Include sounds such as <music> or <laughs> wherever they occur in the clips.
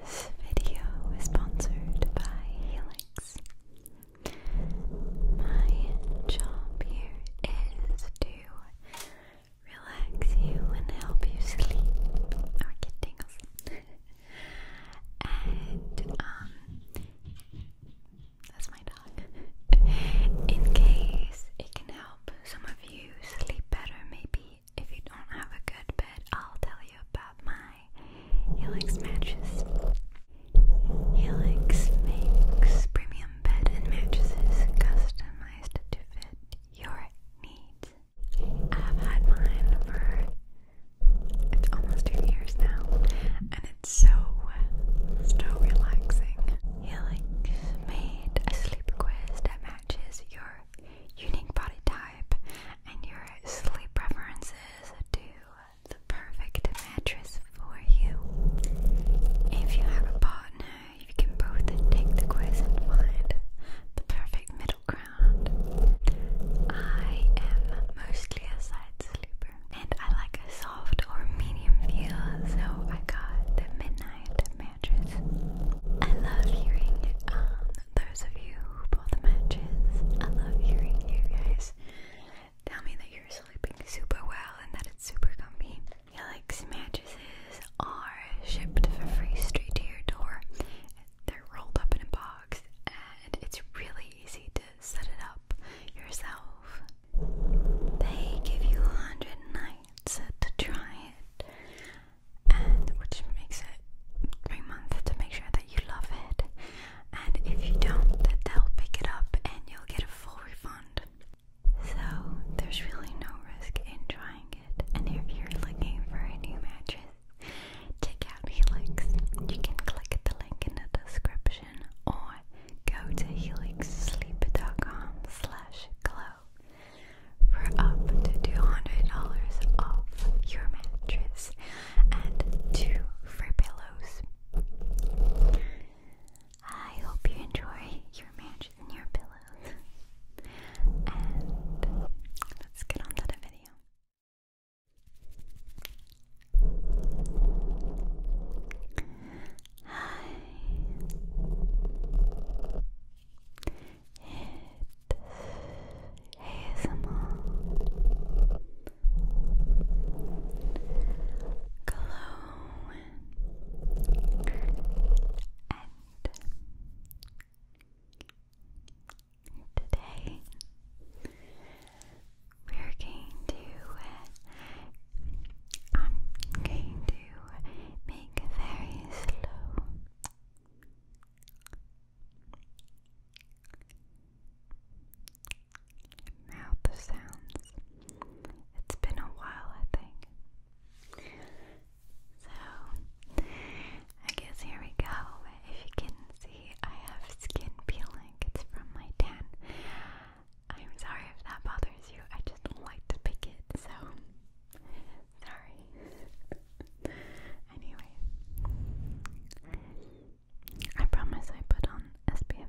This video is sponsored by Helix. My job here is to relax you and help you sleep or get tingles. <laughs> and um that's my <laughs> in case it can help some of you sleep better maybe if you don't have a good bed I'll tell you about my Helix mattresses Helix makes premium bed and mattresses customized to fit your needs I've had mine for it's almost two years now and it's so so relaxing. Helix made complete a sleep quiz that matches your unique body type and your sleep preferences to the perfect mattress for you. If you have a partner, you can both take the quiz and find the perfect middle ground. I am mostly a side sleeper and I like a soft or medium feel, so I got the midnight kind I love hearing um, those of you who bought the matches. I love hearing you guys tell me that you're sleeping super well and that it's super comfy. Helix mattresses are shipped free straight to your door. They're rolled up in a box and it's really easy to set it up yourself. They give you 100 nights to try it, and which makes it three months to make sure that you love it. And if you don't, then they'll pick it up and you'll get a full refund. So there's really no risk in trying it. And if you're looking for a new mattress, check out Helix. You can click the link in the description or go to helixsleep.com slash glow for up to $200 off your mattress and two free pillows. I hope you enjoy your mattress and your pillows. and let's get on the video. Hi. It's ASMR. Glow and today we're going to um, I'm going make very slow mouth sounds. It's been a while, I think. So, I guess here we go. If you can see, I have skin peeling. It's from my tan. I'm sorry if that bothers you. I just don't like to pick it, so sorry. anyway, I promise I put on SPF.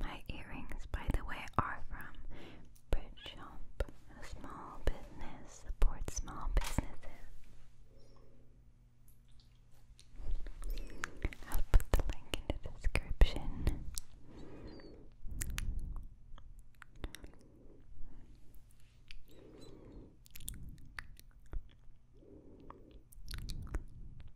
My earrings, by the way, are from Bridgeshop. A small business supports small businesses. I'll put the link in the description.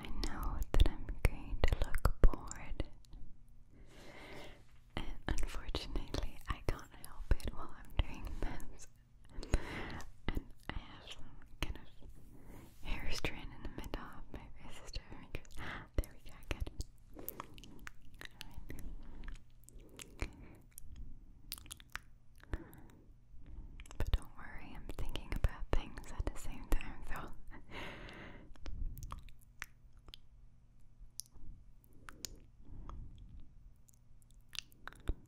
I know that I'm going to look bored, and unfortunately, I can't help it while I'm doing this and I have some kind of hair strand in the middle of my face is different because there we go, good. But don't worry, I'm thinking about things at the same time, so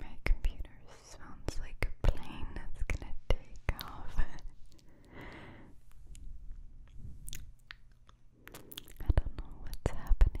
My computer sounds like a plane that's gonna take off. <laughs> I don't know what's happening.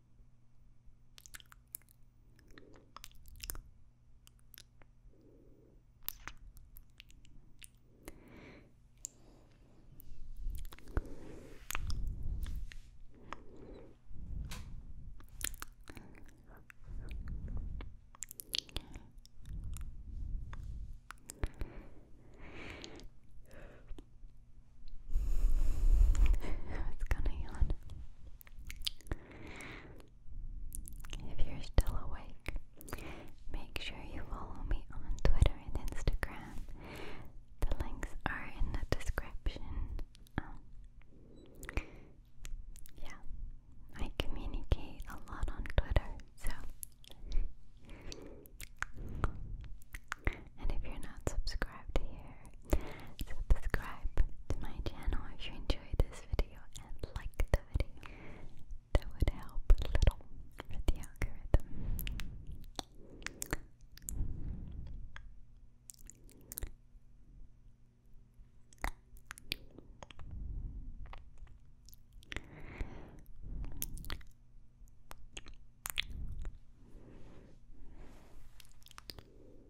I was gonna yawn. If you're still awake, make sure you follow me on Twitter and Instagram. The links are in the description. Um, yeah, I communicate a lot on Twitter, so. And if you're not subscribed here, subscribe to my channel if you enjoyed this video and like the video. That would help a little with the algorithm. Oh,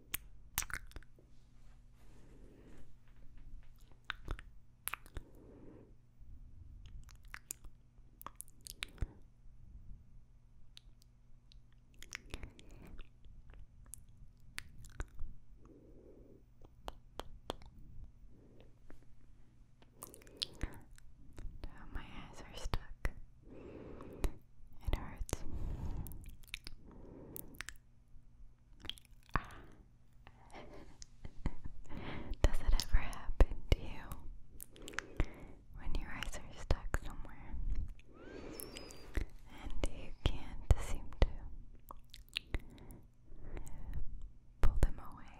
my eyes are stuck. It hurts. <laughs> Does it ever happen to you when your eyes are stuck somewhere and you can't seem to pull them away?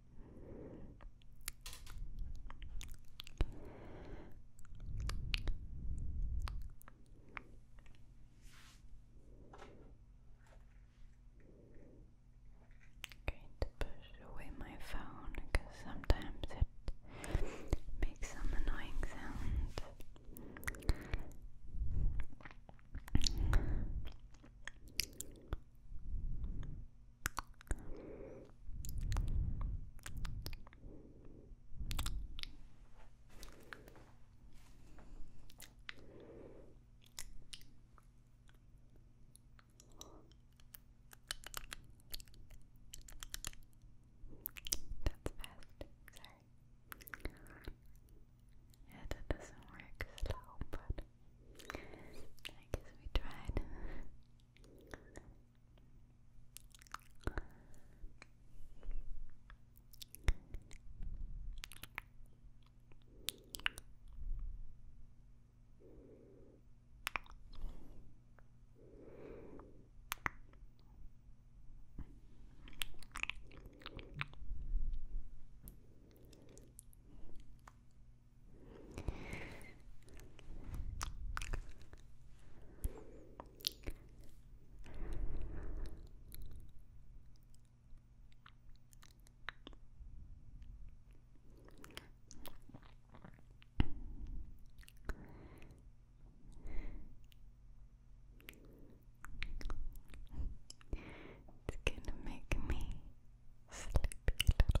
going to push away my phone because sometimes it makes some annoying sound. That's fast, sorry. Yeah, that doesn't work slow, but I guess we tried. It's gonna make me sleepy little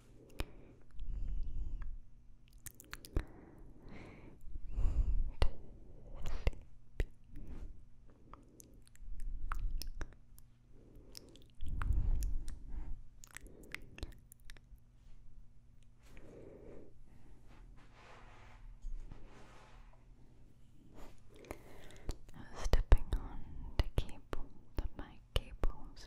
I was stepping on to keep the mic cables.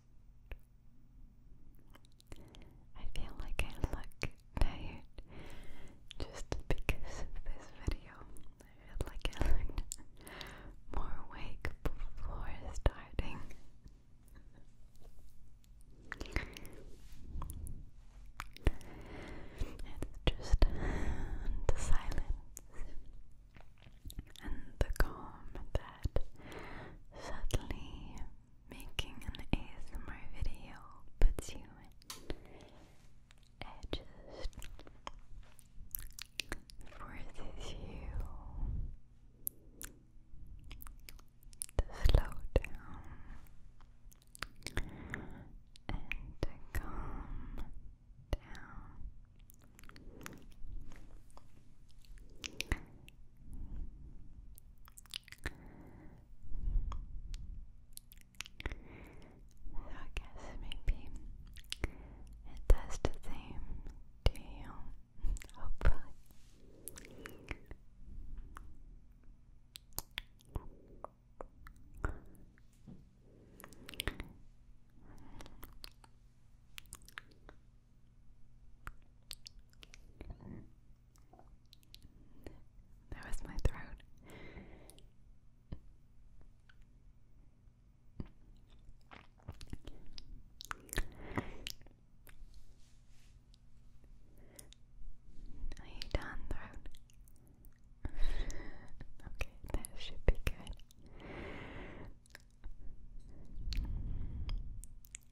I feel like I look tired just because of this video. I feel like I looked more awake before starting. It's just the silence and the calm that suddenly making an ASMR video puts you in edges, forces you to slow down and to calm down. So I guess maybe it does the same to you, <laughs> hopefully. That was my throat. Are you done, throat? okay, that should be good.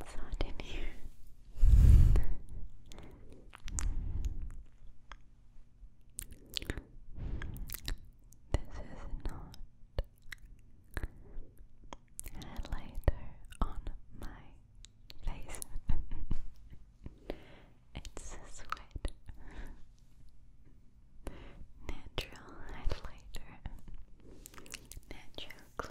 It's not in here. this is not a on my face. <laughs> it's sweat. Natural highlighter. Natural glow.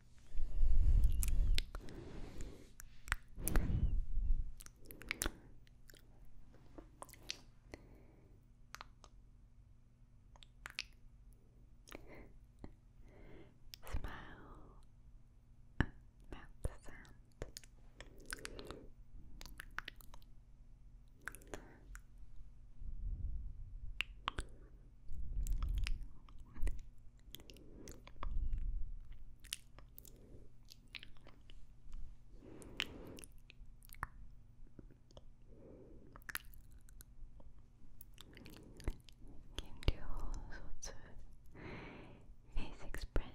Smile, mouth sound. Can do all sorts of face expressions.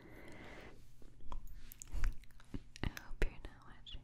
I hope you're not watching.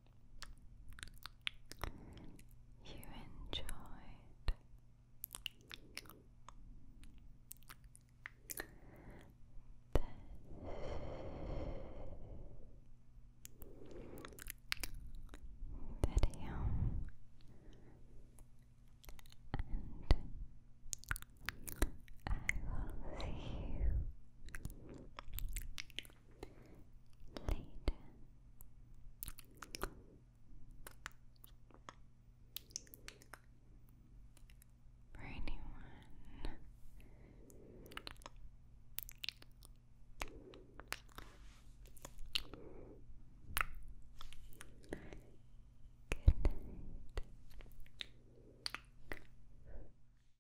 you enjoyed. This video and I will see you later. For anyone Good night.